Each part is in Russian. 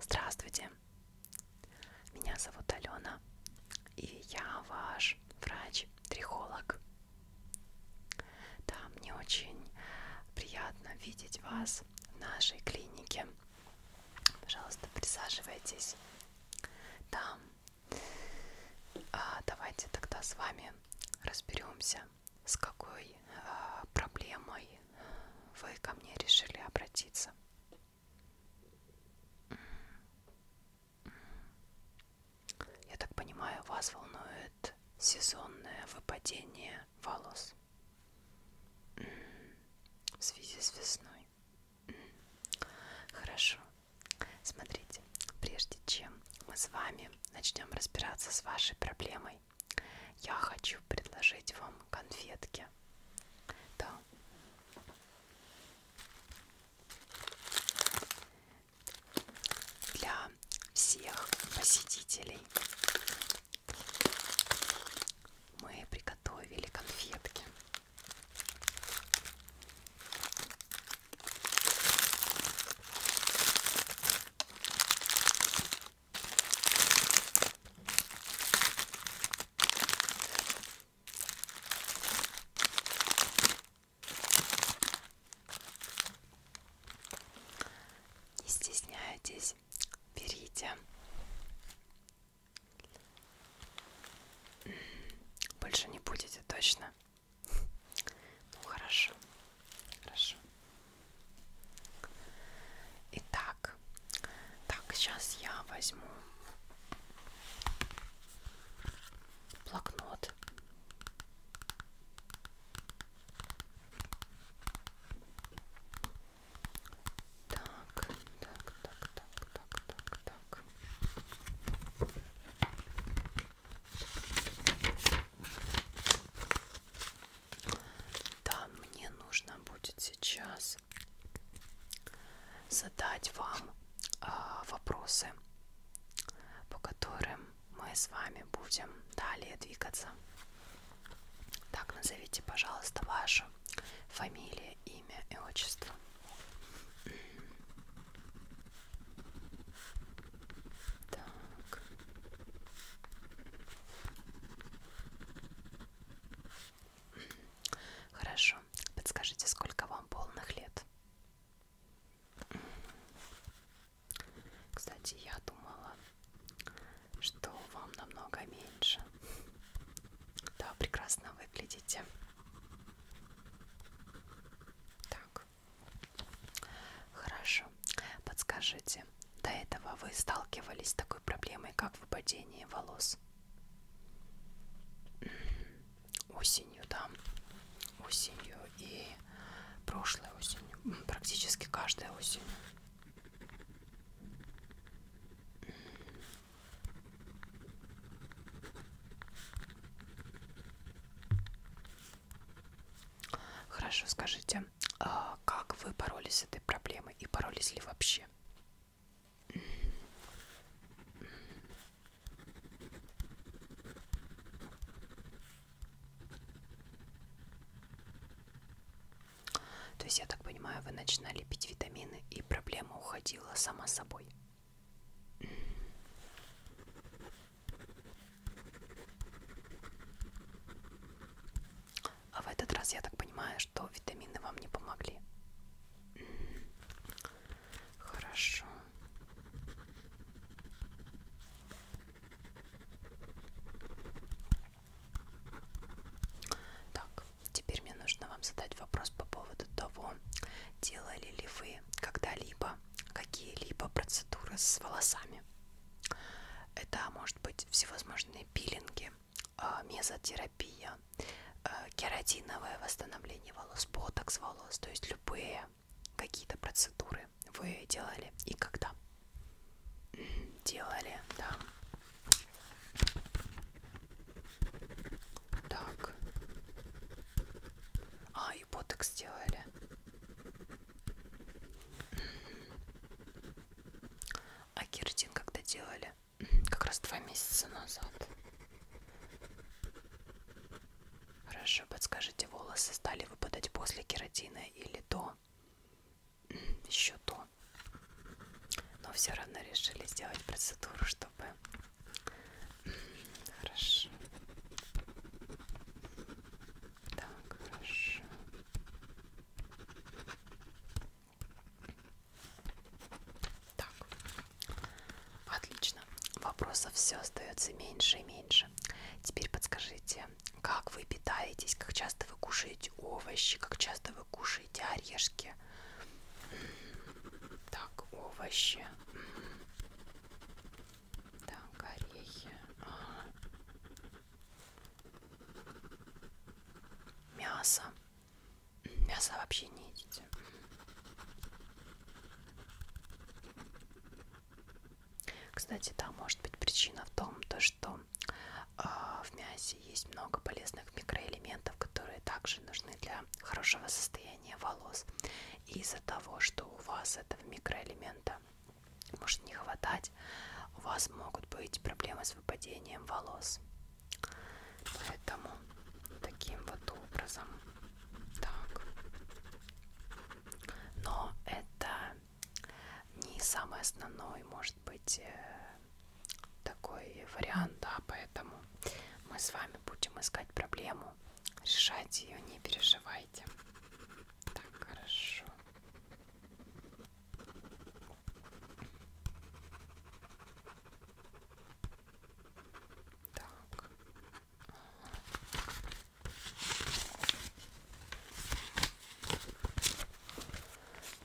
Здравствуйте, меня зовут Алена, и я ваш врач-трихолог. Да, мне очень приятно видеть вас в нашей клинике. Пожалуйста, присаживайтесь. Там а давайте тогда с вами разберемся, с какой а, проблемой вы ко мне решили обратиться. Я так понимаю, вас волнует сезонное выпадение волос в связи с весной. Хорошо. Смотрите, прежде чем мы с вами начнем разбираться с вашей проблемой, я хочу предложить вам конфетки. Да. Для всех посетителей мы приготовили конфетки. Не стесняйтесь, берите. Больше не будете точно ну хорошо, хорошо. Итак, так сейчас я возьму блокнот. Так, так, так, так, так, так, так. Да, мне нужно будет сейчас задать вам э, вопросы, по которым мы с вами будем далее двигаться. Так, назовите, пожалуйста, вашу фамилию, имя и отчество. Так. Хорошо. Подскажите, сколько вам полных лет? Кстати, я думала, что вам намного меньше. Да, прекрасно выглядите. Так. Хорошо. Подскажите, до этого вы сталкивались с такой проблемой, как выпадение волос? Осенью, да. Осенью и прошлой осенью. Практически каждая осень. Хорошо, скажите, а как вы боролись с этой проблемой и боролись ли вообще? То есть, я так понимаю, вы начинали пить витамины и проблема уходила сама собой. А в этот раз я так понимаю, что витамины вам не помогли. Хорошо. Так, теперь мне нужно вам задать вопрос по поводу того, Делали ли вы когда-либо какие-либо процедуры с волосами? Это может быть всевозможные пилинги, а, мезотерапия, а, кератиновое восстановление волос, ботокс волос, то есть любые какие-то процедуры вы делали и когда? Делали, да. Так, а, и ботекс сделали. А кератин когда делали? Как раз два месяца назад. Хорошо, подскажите, волосы стали выпадать после кератина или до? Еще то. Но все равно решили сделать процедуру, чтобы Хорошо. Так, хорошо. Так. Отлично. Вопросов все остается меньше и меньше. Теперь подскажите, как вы питаетесь, как часто вы кушаете овощи, как часто вы кушаете орешки? Так, овощи. Так, орехи. Ага. Мясо. Мясо вообще не едите. Кстати, да, может быть причина в том, то, что э, в мясе есть много полезных микроэлементов, которые также нужны для хорошего состояния состояние волос. И из-за того, что у вас этого микроэлемента может не хватать, у вас могут быть проблемы с выпадением волос. Поэтому таким вот образом. Так. Но это не самый основной, может быть, э, такой вариант, да, поэтому мы с вами будем искать проблему, решать ее, не переживайте. Так, хорошо. Так.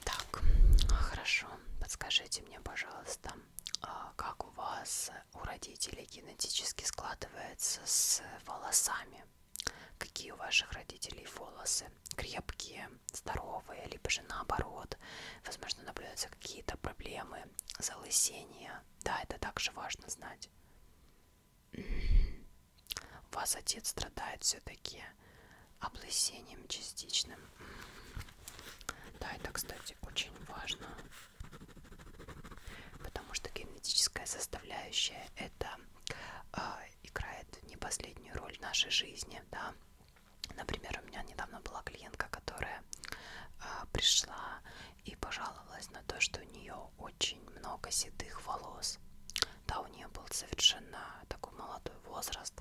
Так, хорошо. Подскажите мне, пожалуйста, а как у вас э, у родителей генетически складывается с волосами. Какие у ваших родителей волосы? Крепкие, здоровые, либо же наоборот. Возможно, наблюдаются какие-то проблемы, залысения. Да, это также важно знать. У вас отец страдает все-таки облысением частичным. Да, это, кстати, кстати, очень важно, потому что генетическая составляющая это э, играет не последнюю роль в нашей жизни, да. Например, у меня недавно была клиентка, которая э, пришла и пожаловалась на то, что у нее очень много седых волос. Да, у нее был совершенно такой молодой возраст.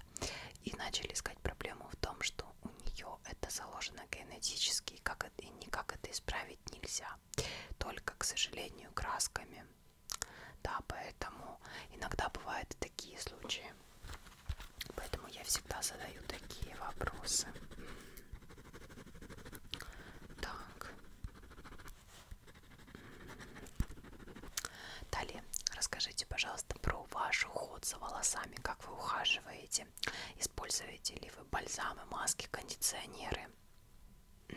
И начали искать проблему в том, что что у нее это заложено генетически, как это, и никак это исправить нельзя. Только, к сожалению, красками. Да, поэтому иногда бывают и такие случаи. Поэтому я всегда задаю такие вопросы. Так. Далее, расскажите, пожалуйста, про ваш уход за волосами как вы ухаживаете, используете ли вы бальзамы, маски, кондиционеры. Так,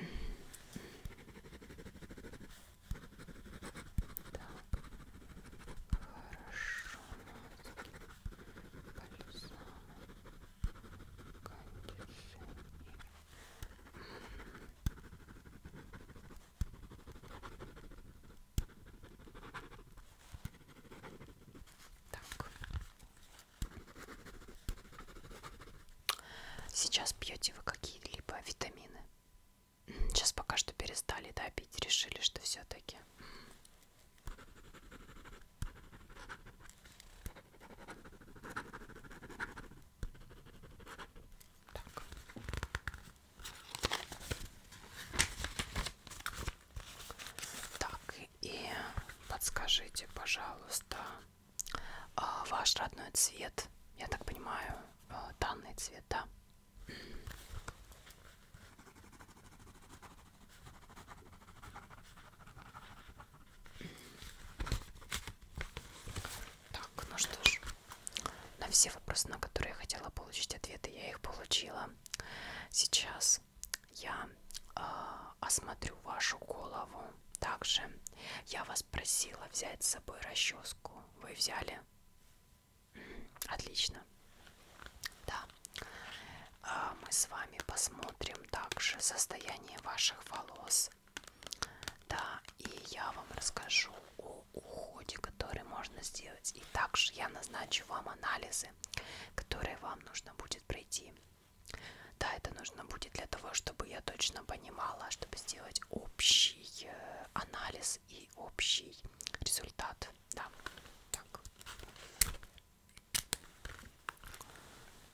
хорошо, маски, бальзамы, кондиционеры. Так. Сейчас пьете вы какие-либо витамины? Сейчас пока что перестали да, пить, решили, что все-таки. Так. Так, и подскажите, пожалуйста, а, ваш родной цвет, я так понимаю, а, данный цвет, да? Так, ну что ж, на все вопросы, на которые я хотела получить ответы, я их получила. Сейчас я э, осмотрю вашу голову. Также я вас просила взять с собой расческу. Вы взяли? Отлично. Да. Э, мы с вами посмотрим также состояние ваших волос. Да, и я вам расскажу о уходе, который можно сделать. И также я назначу вам анализы, которые вам нужно будет пройти. Да, это нужно будет для того, чтобы я точно понимала, чтобы сделать общий э, анализ и общий результат. Да, так.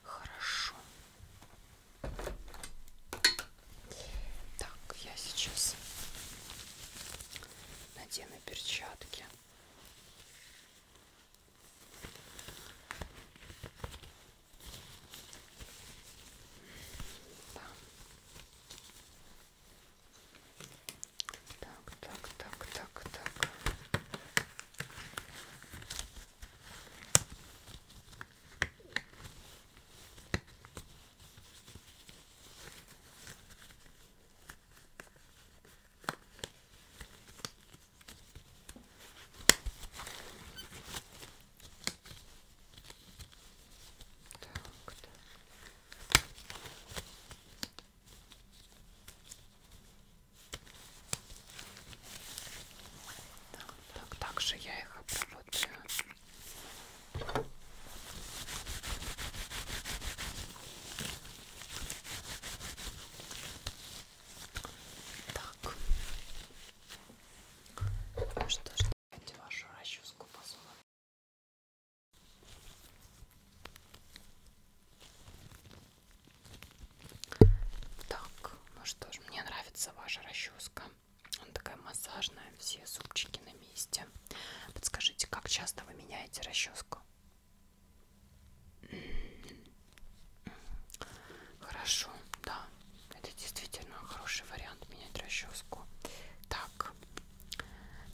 Хорошо. Так, я сейчас надену перчатки. Да. Так, так, так, так, так. Так, да. Так, так, так же я их обработаю. Так. Ну что ж, давайте вашу расческу посмотрим. Так, ну что ж, мне нравится ваша расческа. Она такая массажная, все зубчики на месте. Подскажите, как часто вы меняете расческу? Хорошо, да. Это действительно хороший вариант менять расческу. Так,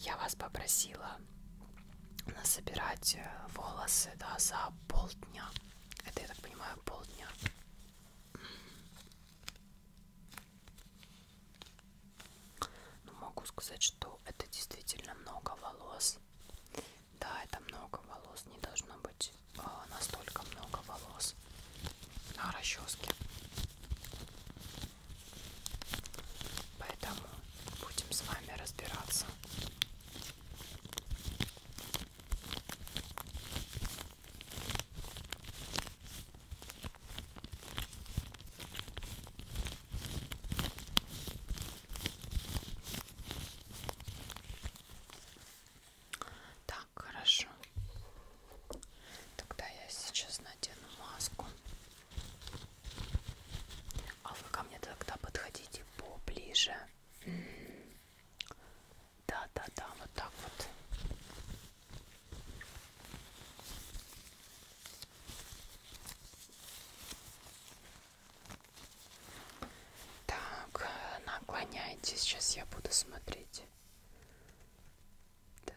я вас попросила насобирать э, волосы да, за полдня. Это, я так понимаю, полдня. Но ну, могу сказать, что это действительно много волос. Да, это много волос, не должно быть а, настолько много волос на расческе. Поэтому будем с вами разбираться. Так, хорошо. Тогда я сейчас надену маску. А вы ко мне тогда подходите поближе. Да, да, да, вот так вот. Так, наклоняйте, сейчас я буду смотреть. Так.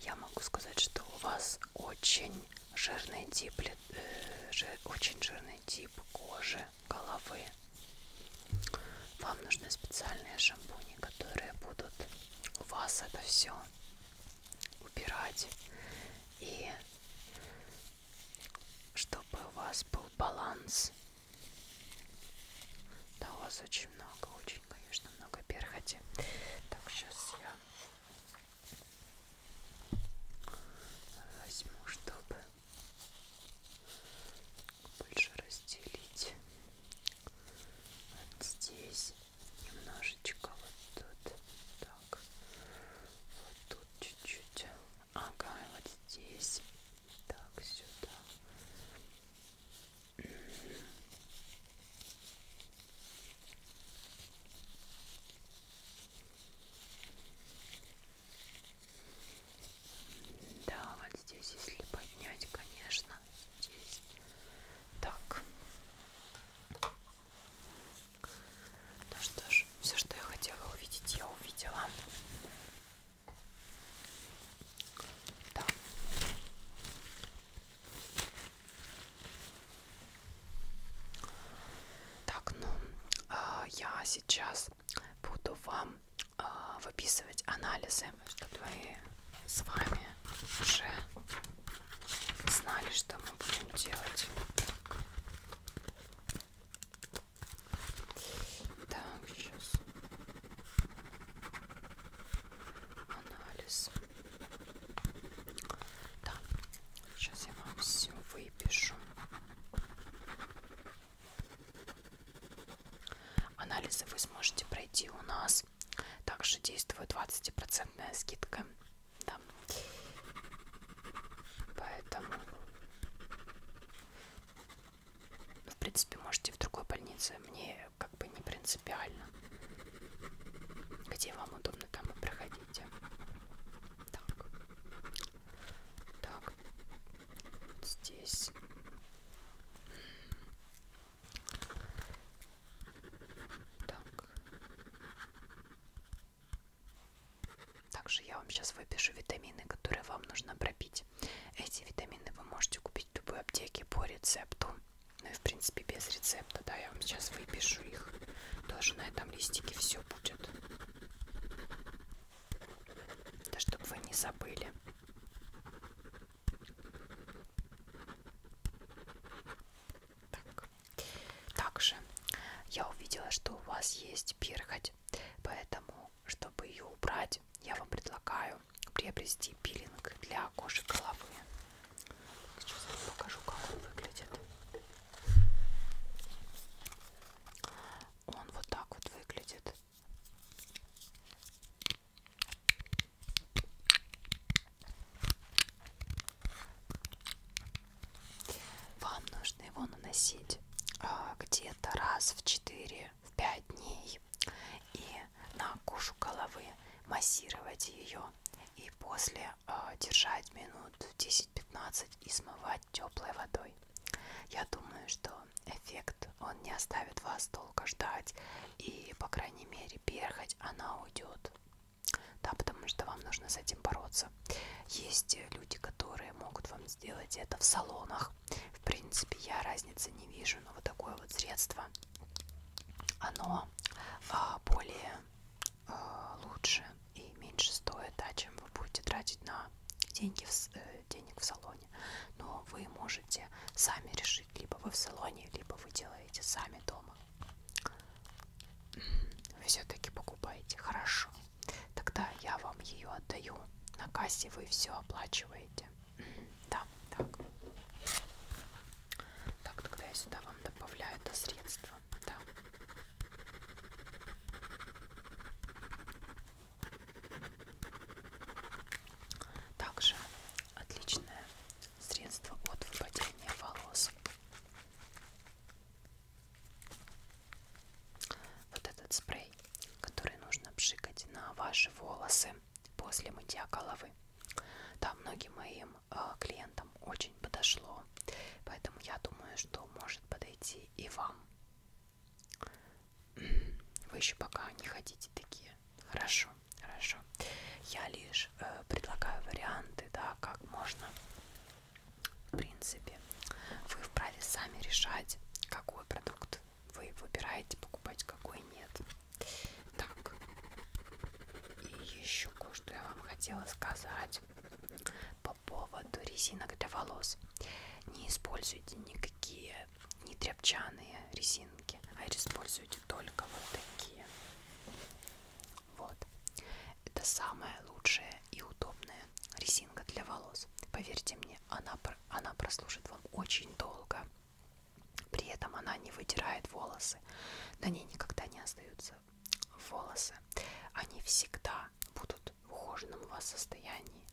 Я могу сказать, что у вас очень жирный тип, э, жир, очень жирный тип кожи, головы. Вам нужны специальные шампуни, которые будут у вас это все убирать. И чтобы у вас был баланс. Да, у вас очень много, очень, конечно, много перхоти. Так, сейчас я возьму, чтобы больше разделить вот здесь немножечко вот тут так вот тут чуть-чуть ага вот здесь так сюда да, вот здесь, если поднять, конечно, здесь так. Ну что ж, все, что я хотела увидеть, я увидела. Да. Так, ну, э, я сейчас буду вам э, выписывать анализы, чтобы вы с вами уже знали, что мы будем делать. Так, сейчас анализ. Да, сейчас я вам все выпишу. Анализы вы сможете пройти у нас. Также действует 20% скидка. Да. Поэтому, в принципе, можете в другой больнице. Мне как бы не принципиально. Где вам удобно, там и проходите. Так. Так. Вот здесь. Так. Также я вам сейчас выпишу витамины, которые вам нужно пропить. Эти витамины вы можете купить в любой аптеке по рецепту. Ну и в принципе без рецепта, да, я вам сейчас выпишу их. Тоже на этом листике все будет. Да, чтобы вы не забыли. Так. Также я увидела, что у вас есть перхоть, поэтому, чтобы ее убрать, я вам предлагаю приобрести пилинг для кожи головы. Сейчас я покажу, как он выглядит. Он вот так вот выглядит. Вам нужно его наносить а, где-то раз в 4-5 дней и на кожу головы массировать ее и после э, держать минут 10-15 и смывать теплой водой. Я думаю, что эффект он не оставит вас долго ждать и, по крайней мере, перхоть она уйдет. Да, потому что вам нужно с этим бороться. Есть люди, которые могут вам сделать это в салонах. В принципе, я разницы не вижу, но вот такое вот средство оно а, более а, лучше и меньше стоит, да, чем вы будете тратить на деньги в, э, денег в салоне. Но вы можете сами решить, либо вы в салоне, либо вы делаете сами дома. Вы все-таки покупаете. Хорошо. Тогда я вам ее отдаю. На кассе вы все оплачиваете. Да, так. Так, тогда я сюда вам добавляю это средство. Да. Также отличное средство от выпадения волос. Вот этот спрей, который нужно пшикать на ваши волосы после мытья головы. Да, многим моим э, клиентам очень подошло, поэтому я думаю, что может подойти и вам. Вы еще пока не хотите такие. Хорошо, хорошо. Я лишь э, предлагаю варианты, да, как можно, в принципе. Вы вправе сами решать, какой продукт вы выбираете, покупать какой нет. Так, и еще кое-что я вам хотела сказать по поводу резинок для волос. Не используйте никакие не тряпчаные резинки, а используйте только вот такие. Вот. Это самая лучшая и удобная резинка для волос. Поверьте мне, она, она прослужит вам очень долго. При этом она не вытирает волосы, на ней никогда не остаются волосы. Они всегда будут в ухоженном у вас состоянии.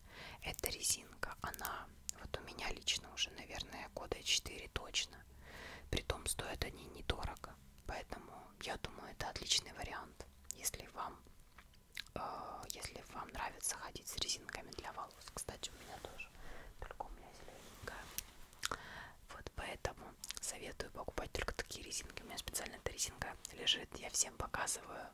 Эта резинка, она вот у меня лично уже, наверное, года 4 точно. Притом стоят они недорого. Поэтому я думаю, это отличный вариант, если вам, э, если вам нравится ходить с резинками для волос волос. Кстати, у меня тоже. Только у меня зелененькая. Вот поэтому советую покупать только такие резинки. У меня специально эта резинка лежит. Я всем показываю,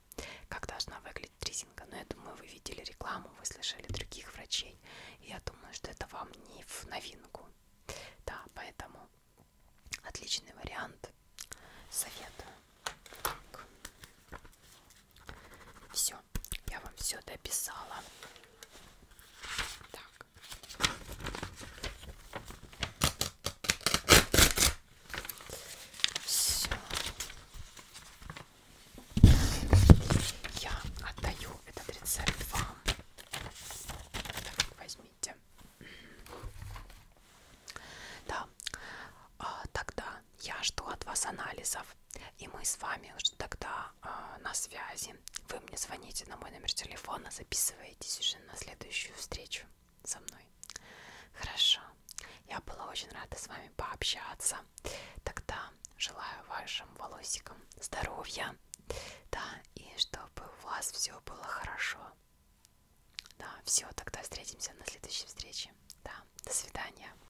как должна выглядеть резинка. Но я думаю, вы видели рекламу, вы слышали других врачей. И я думаю, что это вам не в новинку. Да, поэтому отличный вариант. Советую. Так. Все, я вам все дописала. Так. Все. Я отдаю этот рецепт вам. Так, возьмите. Да, а, тогда я жду от вас анализов, и мы с вами уже тогда э, на связи. Вы мне звоните на мой номер телефона, записываетесь уже на следующую встречу со мной. Хорошо. Я была очень рада с вами пообщаться. Тогда желаю вашим волосикам здоровья, да, и чтобы у вас все было хорошо. Да, все, тогда встретимся на следующей встрече. Да, до свидания.